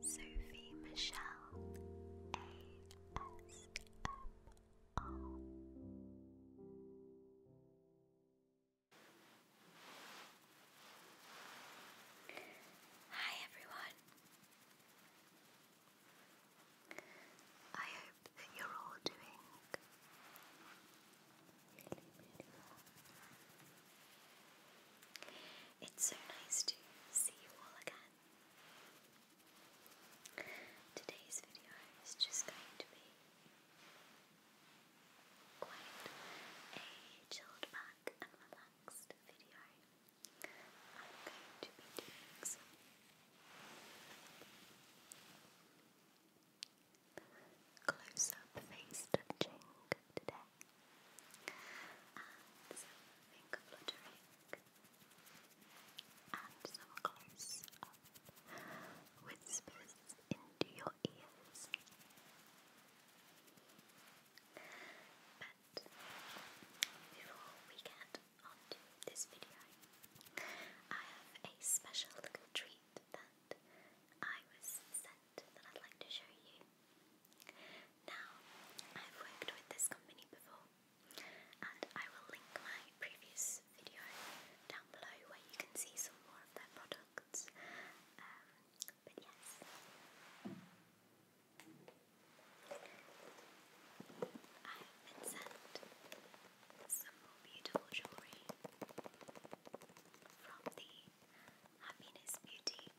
Sophie Michelle ASMR. Hi everyone. I hope that you're all doing really, really well. It's so nice to see you all again. Today's video is just going to be quite a chilled back and relaxed video. I'm going to be doing some close up face touching today and some fluttering, and some close whispers into your ears. But before we get onto this video, I have a special little treat that I was sent that I'd like to show you. Now, I've worked with this company before, and I will link my previous video down below where you can see some more of their products. Um, but yes. I have been sent some more beautiful jewellery from the Happiness Beauty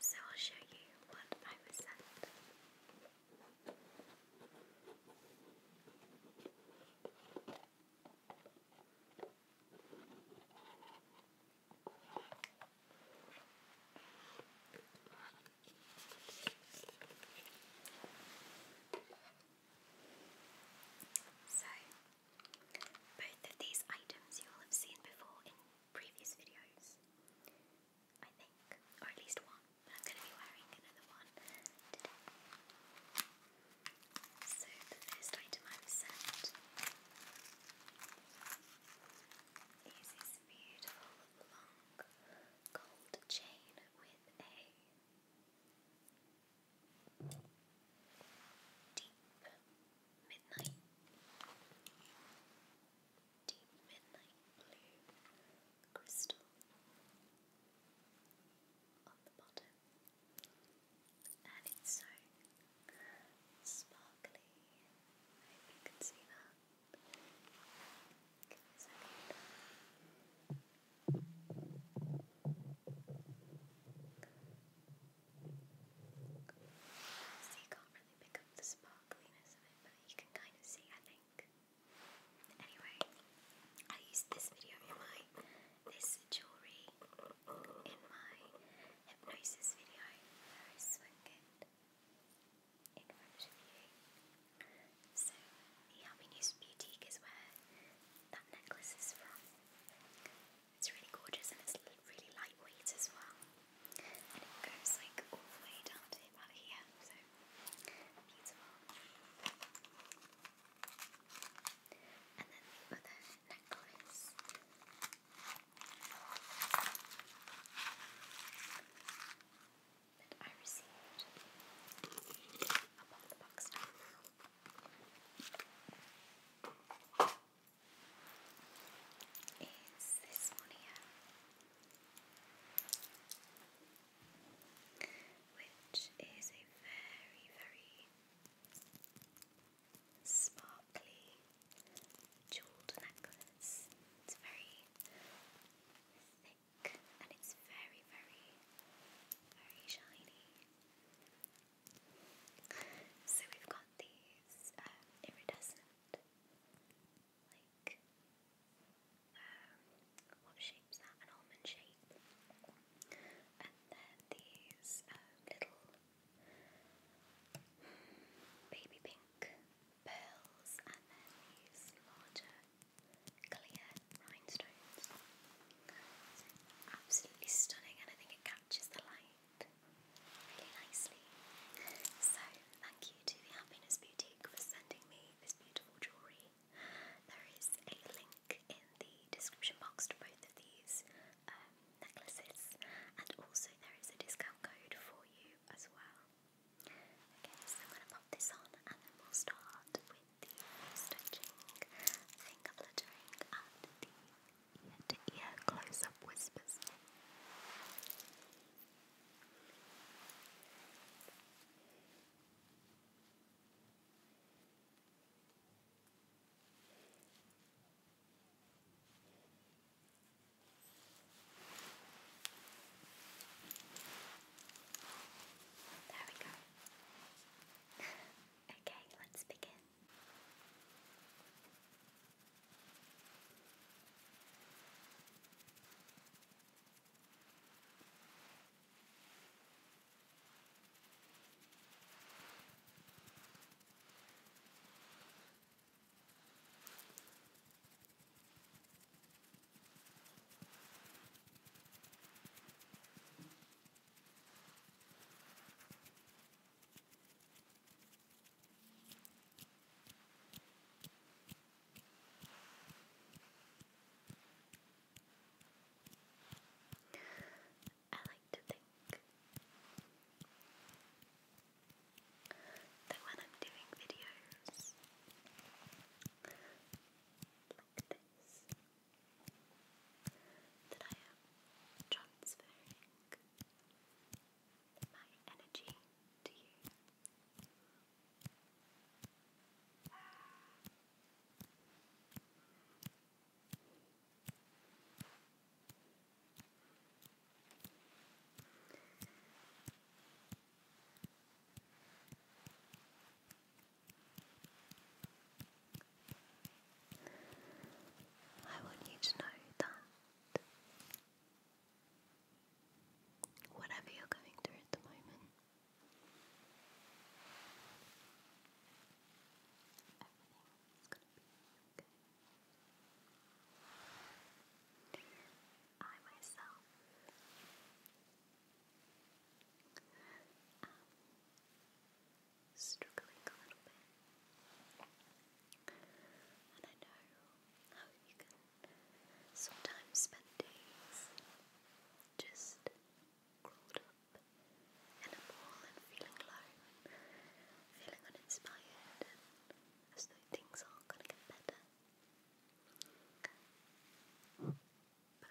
So I'll show you what I was sent. So, both of these items you will have seen before in previous videos, I think, or at least one, but I'm going to be wearing another one So, the first item I've sent is this beautiful gold chain with a deep midnight, deep midnight blue crystal on the bottom, and it's so sparkly. I hope you can see that. So you can't really pick up the sparkliness of it, but you can kind of see, I think. Anyway, I used this video in my this jewellery in my hypnosis video I swung it in you. the Albinews Boutique is where that necklace is from. It's really gorgeous and it's really lightweight as well. And it goes like all the way down to about here, so beautiful. And then the other necklace that I received. I'll the box now. Is this one here? Which is a very, very sparkly jeweled necklace. It's very thick and it's very, very, very shiny. So we've got these um, iridescent, like, um, what shape's that? An almond shape. And then these um, little hmm, baby pink pearls and then these larger clear rhinestones. absolutely stunning I think it captures the light really nicely. So thank you to the Happiness Boutique for sending me this beautiful jewellery. There is a link in the description box to both of these um, necklaces and also there is a discount code for you as well. I'm gonna pop this on and then we'll start with the stretching, finger fluttering, and the ear close up whispers. There we go. okay, let's begin. I like to think that when I'm doing videos like this, that I am transferring my energy to you. I want you to know that whatever you're going through at the moment, everything's going to be okay. I myself am struggling a little bit. And I know how you can sometimes spend days just curled up in a ball and feeling low, feeling uninspired, and as though things aren't going to get better. But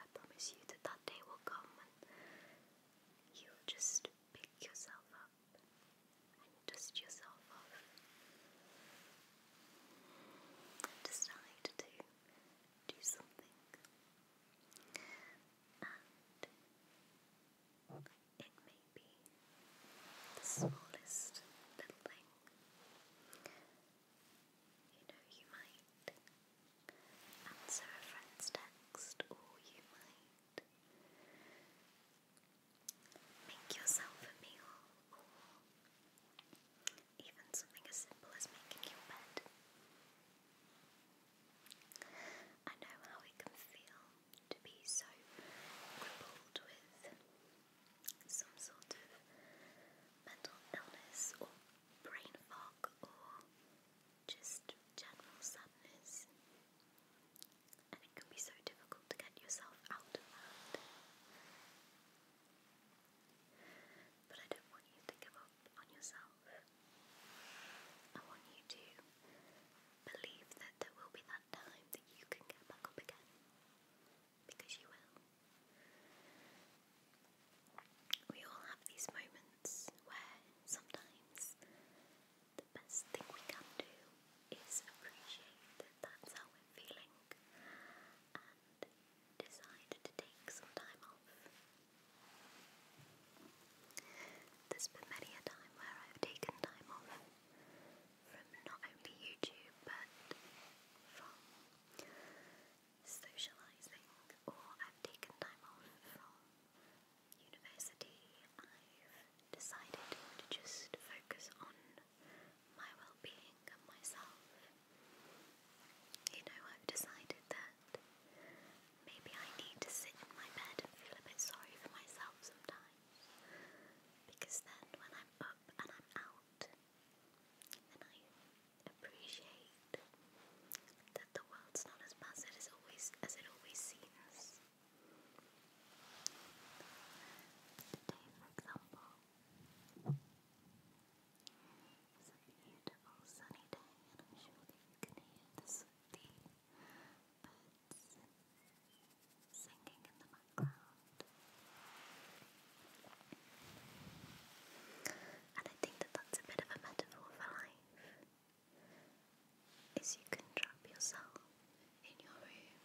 I promise you that that day will come and you'll just pick yourself up and dust yourself off and decide to do something. And it may be the smallest little thing. You know, you might answer a friend's text, or you might make yourself a meal, or even something as simple as making your bed. I know how it can feel to be so crippled with some sort of mental illness or brain fog or just general sadness. And it can be so difficult to get yourself out of that. But I don't want you to give up on yourself. I want you to believe that there will be that time that you can get back up again because you will. We all have these moments where sometimes the best thing we can do is appreciate that that's how we're feeling and decide to take some time off. There's been many a time where I've taken time off from not only YouTube but from socialising, or I've taken time off from university. I've decided to just focus on my well being and myself. You know, I've decided that maybe I need to sit in my bed and feel a bit sorry for myself sometimes. Because then when I'm up and I'm out, and I appreciate that the world's not as massive as always as it always seems. Today, for example, it's a beautiful sunny day, and I'm sure that you can hear the, the singing in the background. And I think that that's a bit of a metaphor for life. Is you can trap yourself in your room.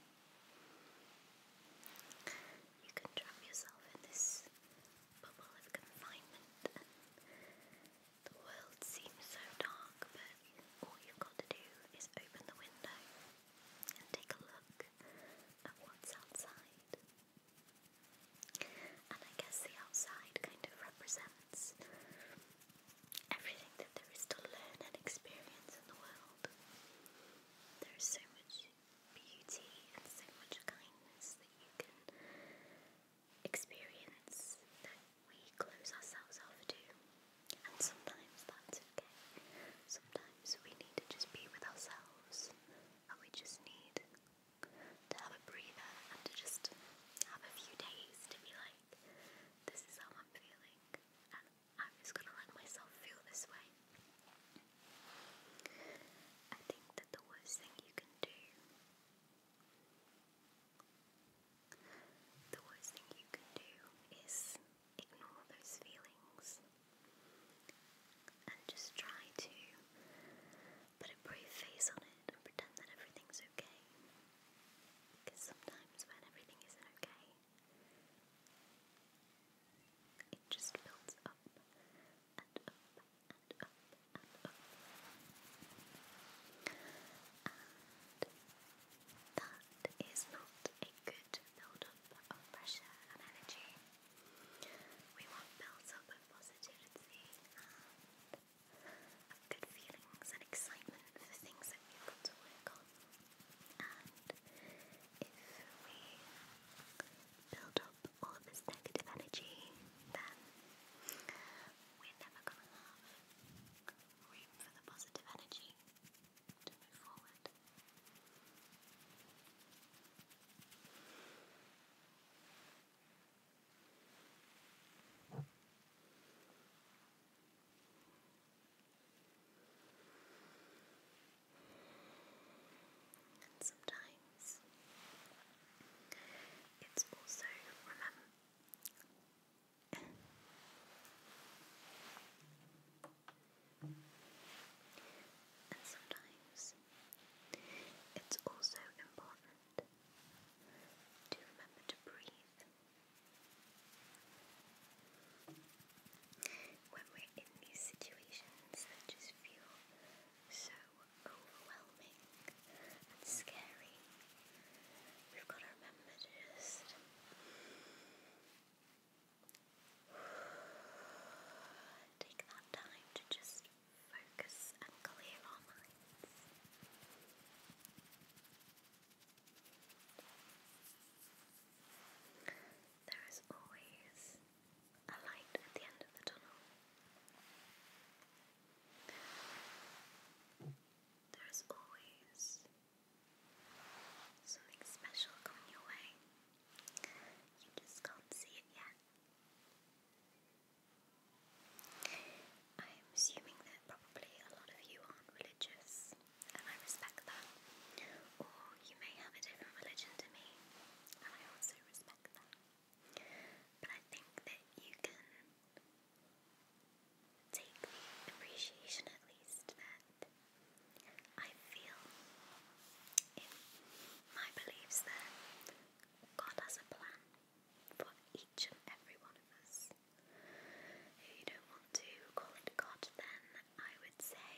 You can trap yourself in this bubble of confinement the world seems so dark but all you've got to do is open the window and take a look at what's outside. And I guess the outside kind of represents everything that there is to learn and experience in the world. There is so much beauty and so much kindness that you can experience that we close ourselves off to. And sometimes that's okay. Sometimes we need to just be with ourselves and we just need to have a breather and to just have a few days to be like, this is how I'm feeling and I'm just gonna let myself feel this way. I think that the worst thing you can do the worst thing you can do is ignore those feelings and just try to put a brave face on it and pretend that everything's okay. Because sometimes when everything isn't okay, it just builds up and up and up and up. That is not a good buildup of pressure and energy. We want builds up of positivity and of good feelings and excitement for the things that we've got to work on. And if we build up all of this negative energy, then we're never going to have room for the positive energy to move And sometimes it's also remember and sometimes it's also important to remember to breathe. When we're in these situations that just feel so overwhelming and scary, we've got to remember to just Take that time to just focus and clear our minds. There is always a light at the end of the tunnel. There is always Something special coming your way. You just can't see it yet. I'm assuming that probably a lot of you aren't religious, and I respect that. Or you may have a different religion to me, and I also respect that. But I think that you can take the appreciation at least that I feel in my beliefs that God has a plan for each and every one of us. If you don't want to call it God, then I would say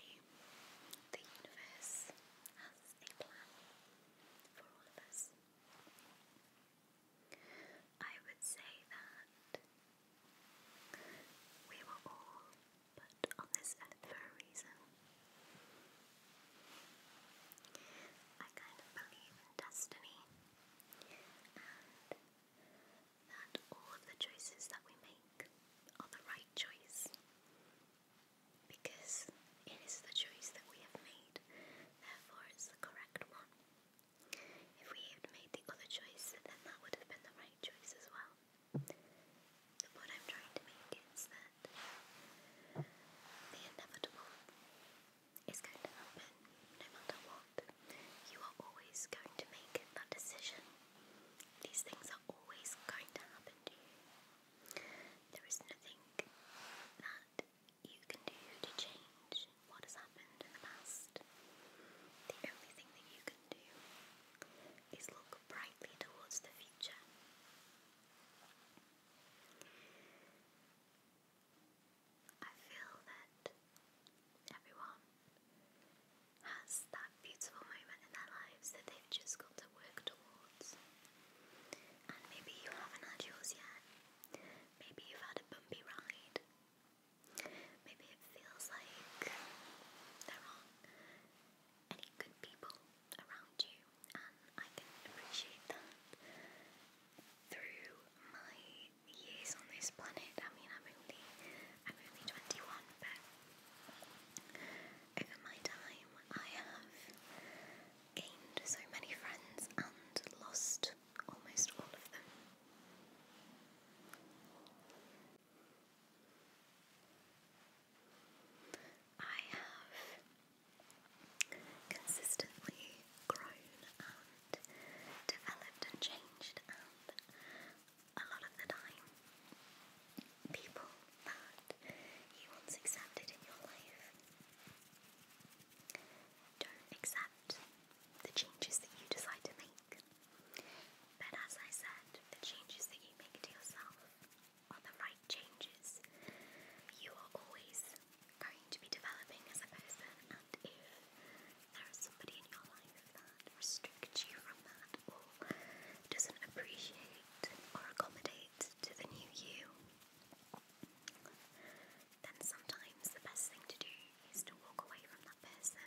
the universe has a plan for all of us. I would say that we were all put on this earth for a reason. I kind of believe in destiny and that all of the choices that we make are the right choice because it is the choice that we have made, therefore, it's the correct one. If we had made the other choice, then that would have been the right choice as well. The point I'm trying to make is that the inevitable is going to happen no matter what. You are always going to make that decision. These things are always going to happen to you. There is nothing that you can do to change what has happened in the past. The only thing that you can do is look brightly towards the future. I feel that everyone has that beautiful moment in their lives that they've just got to work towards. And maybe you haven't had yours yet. Maybe you've had a bumpy ride. Maybe it feels like there aren't any good people around you, and I can appreciate that. Through my years on this planet, I mean, I'm only, I'm only 21, but over my time, I have gained so many friends and lost almost all of them. I have consistently grown and developed and changed, and a lot of the time, people that you once accepted in your life don't accept the changes that you decide to make. But as I said, the changes that you make to yourself are the right changes. You are always going to be developing as a person, and if there is somebody in your life that restricts you from that or doesn't appreciate or accommodate to the new you, then sometimes the best thing to do is to walk away from that person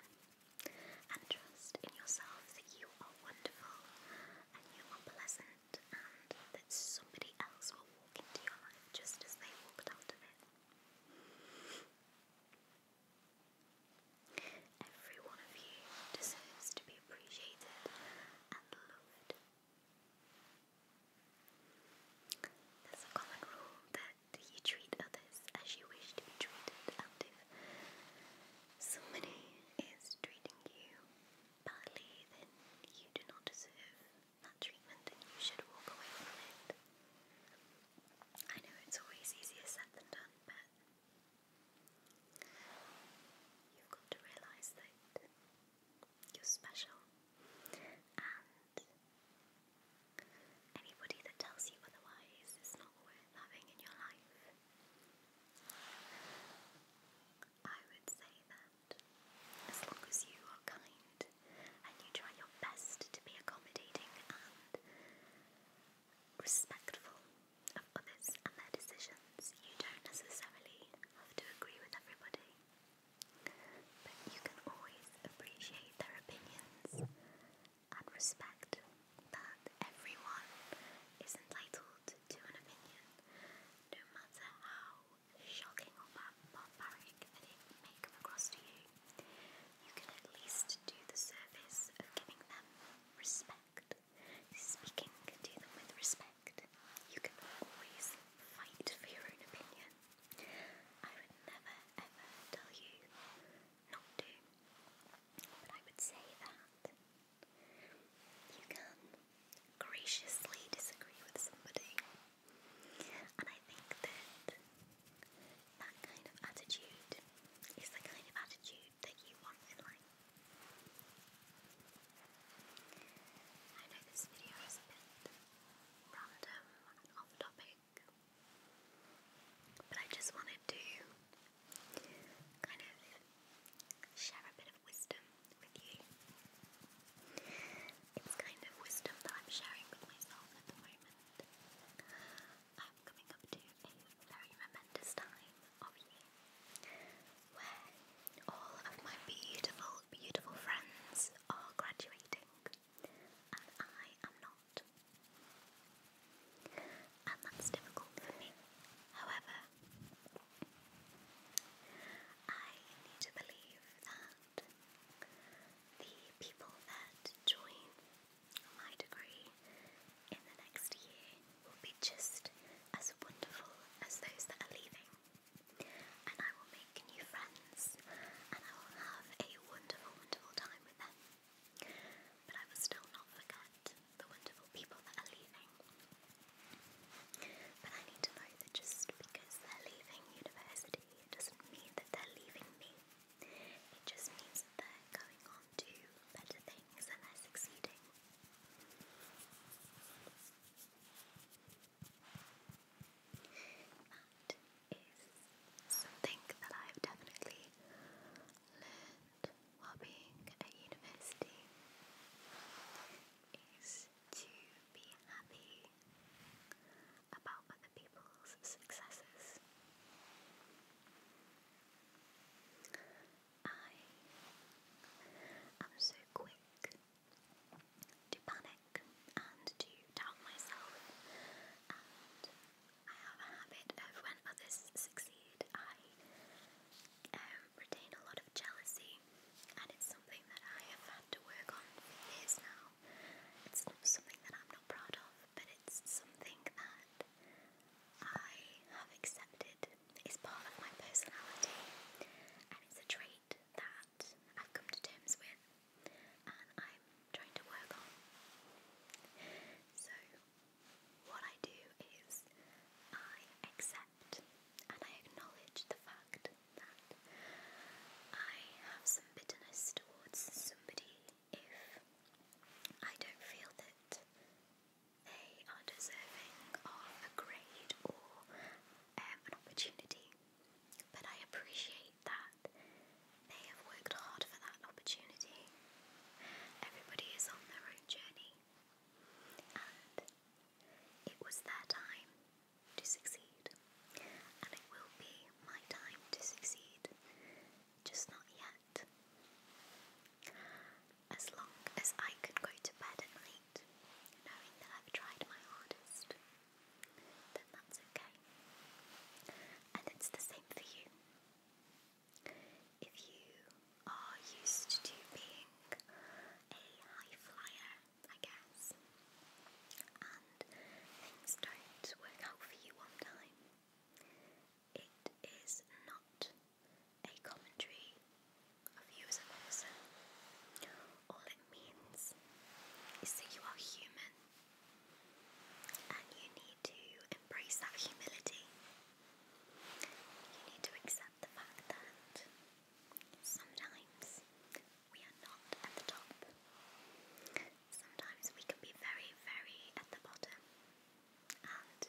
and trust in yourself that you are wonderful and you are pleasant and that somebody else will walk into your life just as they walked out of it. Every one of you deserves to be appreciated and loved. There's a common rule that do you treat others as you wish to be treated? And if somebody is treating you badly, then you do not deserve that treatment and you should walk away from it. I know it's always easier said than done, but you've got to realise that you're special and Anybody that tells you otherwise is not worth having in your life. I would say that as long as you are kind and you try your best to be accommodating and respectful of others and their decisions, you don't necessarily have to agree with everybody but you can always appreciate their opinions and respect that everyone is entitled to an opinion, no matter how shocking or barbaric that it may come across to you. You can at least do the service of giving them respect, speaking to them with respect. You can always fight for your own opinion. I would never ever tell you not to, but I would say that you can graciously disagree with somebody, and I think that that kind of attitude is the kind of attitude that you want in life. I know this video is a bit random and off topic, but I just wanted to kind of share a bit of wisdom with you. It's kind of wisdom that I'm sharing with myself at the moment. I'm coming up to a very momentous time of where all of my beautiful, beautiful friends are graduating and I am not. And that's difficult for me. However, I need to believe that the people that join my degree in the next year will be just as wonderful as those that are leaving. And I will make new friends friends, and I will have a wonderful, wonderful time with them. But I will still not forget the wonderful people that are leaving. But I need to know that just because they're leaving university, it doesn't mean that they're leaving me. It just means that they're going on to better things and they're succeeding. That is something that I've definitely learned while being at university is to be happy about other people's successes. I am so quick to panic and to doubt myself. And I have a habit of when others succeed, I um, retain a lot of jealousy, and it's something that I have had to work on for years now. It's not something that I'm not proud of, but it's something that I have accepted is part of my personality, and it's a trait that I've come to terms with and I'm trying to work on. So, what I do is I accept and I acknowledge the fact that I have some bitterness towards somebody if I don't feel that they are deserving of a grade or um, an opportunity. But I appreciate appreciate that. They have worked hard for that opportunity. Everybody is on their own journey, and it was their time to succeed, and it will be my time to succeed, just not yet. As long as I can go to bed at night knowing that I've tried my hardest, then that's okay. And it's the same for you. If you are used to being a high flyer, I guess, and things don't work out for you one time, it is not a commentary of you as a person all it means is that you are human and you need to embrace that humility. You need to accept the fact that sometimes we are not at the top, sometimes we can be very, very at the bottom, and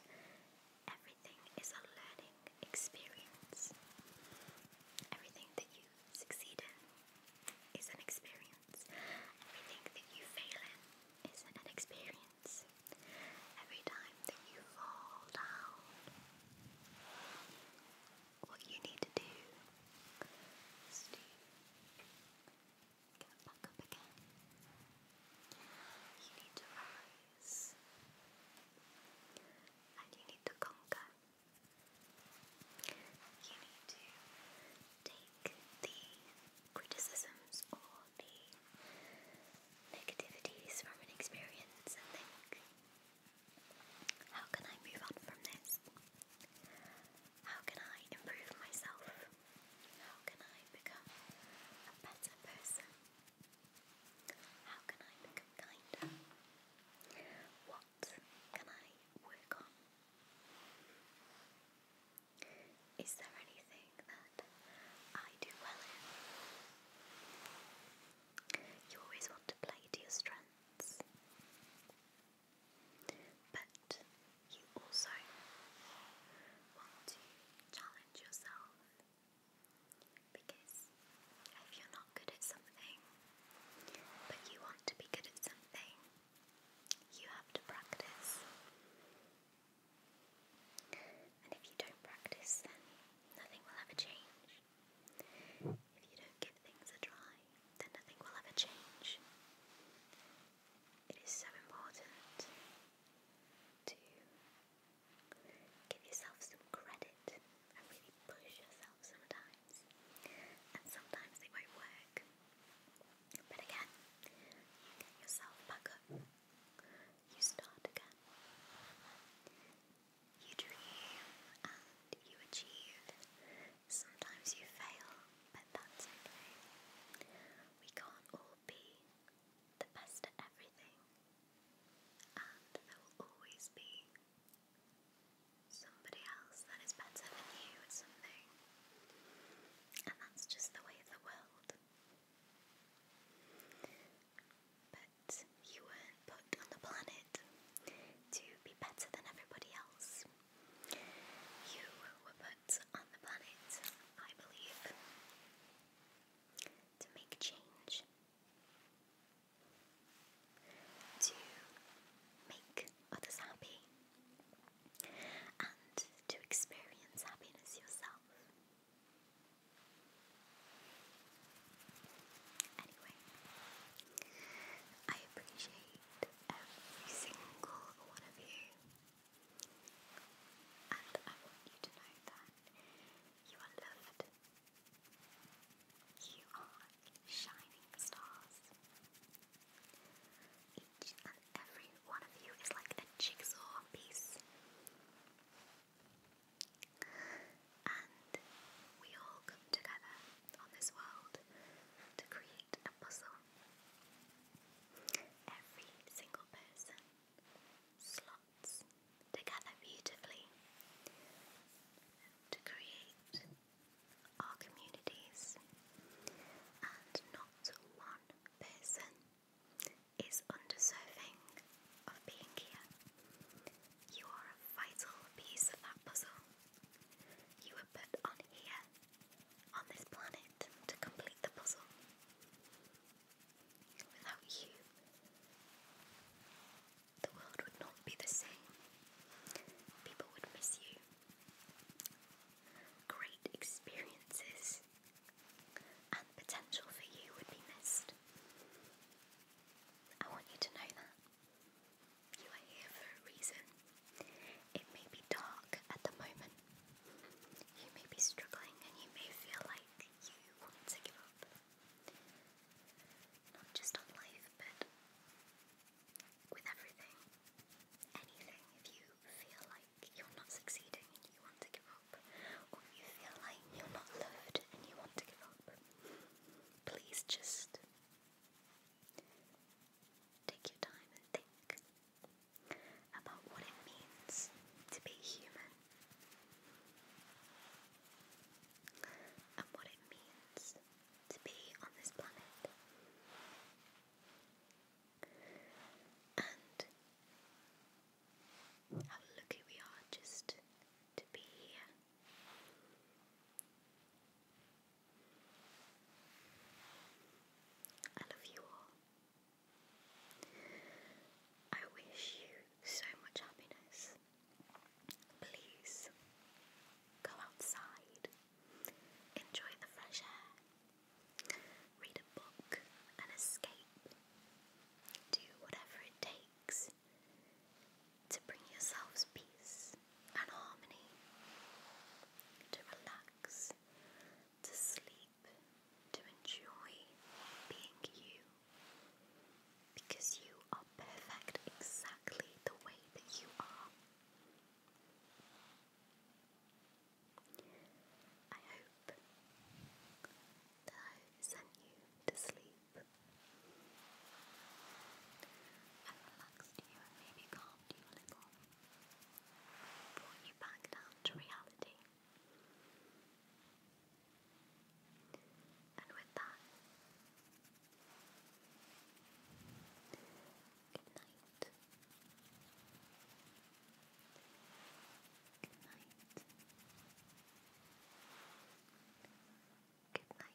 everything is a learning experience. Everything that you Succeed is an experience. Everything that you fail in is an experience. Every time that you fall down, what you need to do is to get back up again. You need to rise and you need to conquer. You need to take the criticisms or the negativities from an experience and think, how can I move on from this? How can I improve myself? How can I become a better person? How can I become kinder? can I work on? Is there anything that I do well in? You always want to play to your strengths, but you also want to challenge yourself because if you're not good at something, but you want to be good at something, you have to practice. And if you don't practice, then nothing will ever change. If you don't give things a try, then nothing will ever change. It is so important to give yourself some credit and really push yourself sometimes, and sometimes they won't work. But again, you get yourself back up, you start again, you dream and you achieve. Sometimes you fail, but that's okay. We can't all be the best at everything, and there will always be somebody else that is better than you at something. And that's just the way of the world. But you were put on the planet to be better than everybody else. You were put on the planet, I believe, to make change to make others happy and to experience happiness yourself. Anyway, I appreciate every single one of you, and I want you to know that you are loved. You are shining stars. Each and every one of you is like a jigsaw piece. And we all come together on this world to create a puzzle. Every single person slots together beautifully to create our communities, and not one person is undeserving of being here. You are a vital piece of that puzzle. You were put on here, on this planet, to complete the puzzle. Without you, the world would not be the same. People would miss you. Great experiences and potential for you would be missed. I want you to know that. You are here for a reason. It may be dark at the moment. You may be struggling and you may feel like you want to give up not just on life, but with everything. Anything. If you feel like you're not succeeding and you want to give up, or you feel like you're not loved and you want to give up, please just take your time and think about what it means to be human and what it means to be on this planet. And how lucky we are just to be here. I love you all. I wish you so much happiness Please go outside, enjoy the fresh air, read a book and escape. Do whatever it takes to bring yourselves peace and harmony, to relax, to sleep, to enjoy being you. Because you are perfect exactly the way that you are. I hope that I sent you to sleep and relaxed you and maybe calmed you a little, brought you back down to reality. And with that, good night. Good night. Good night.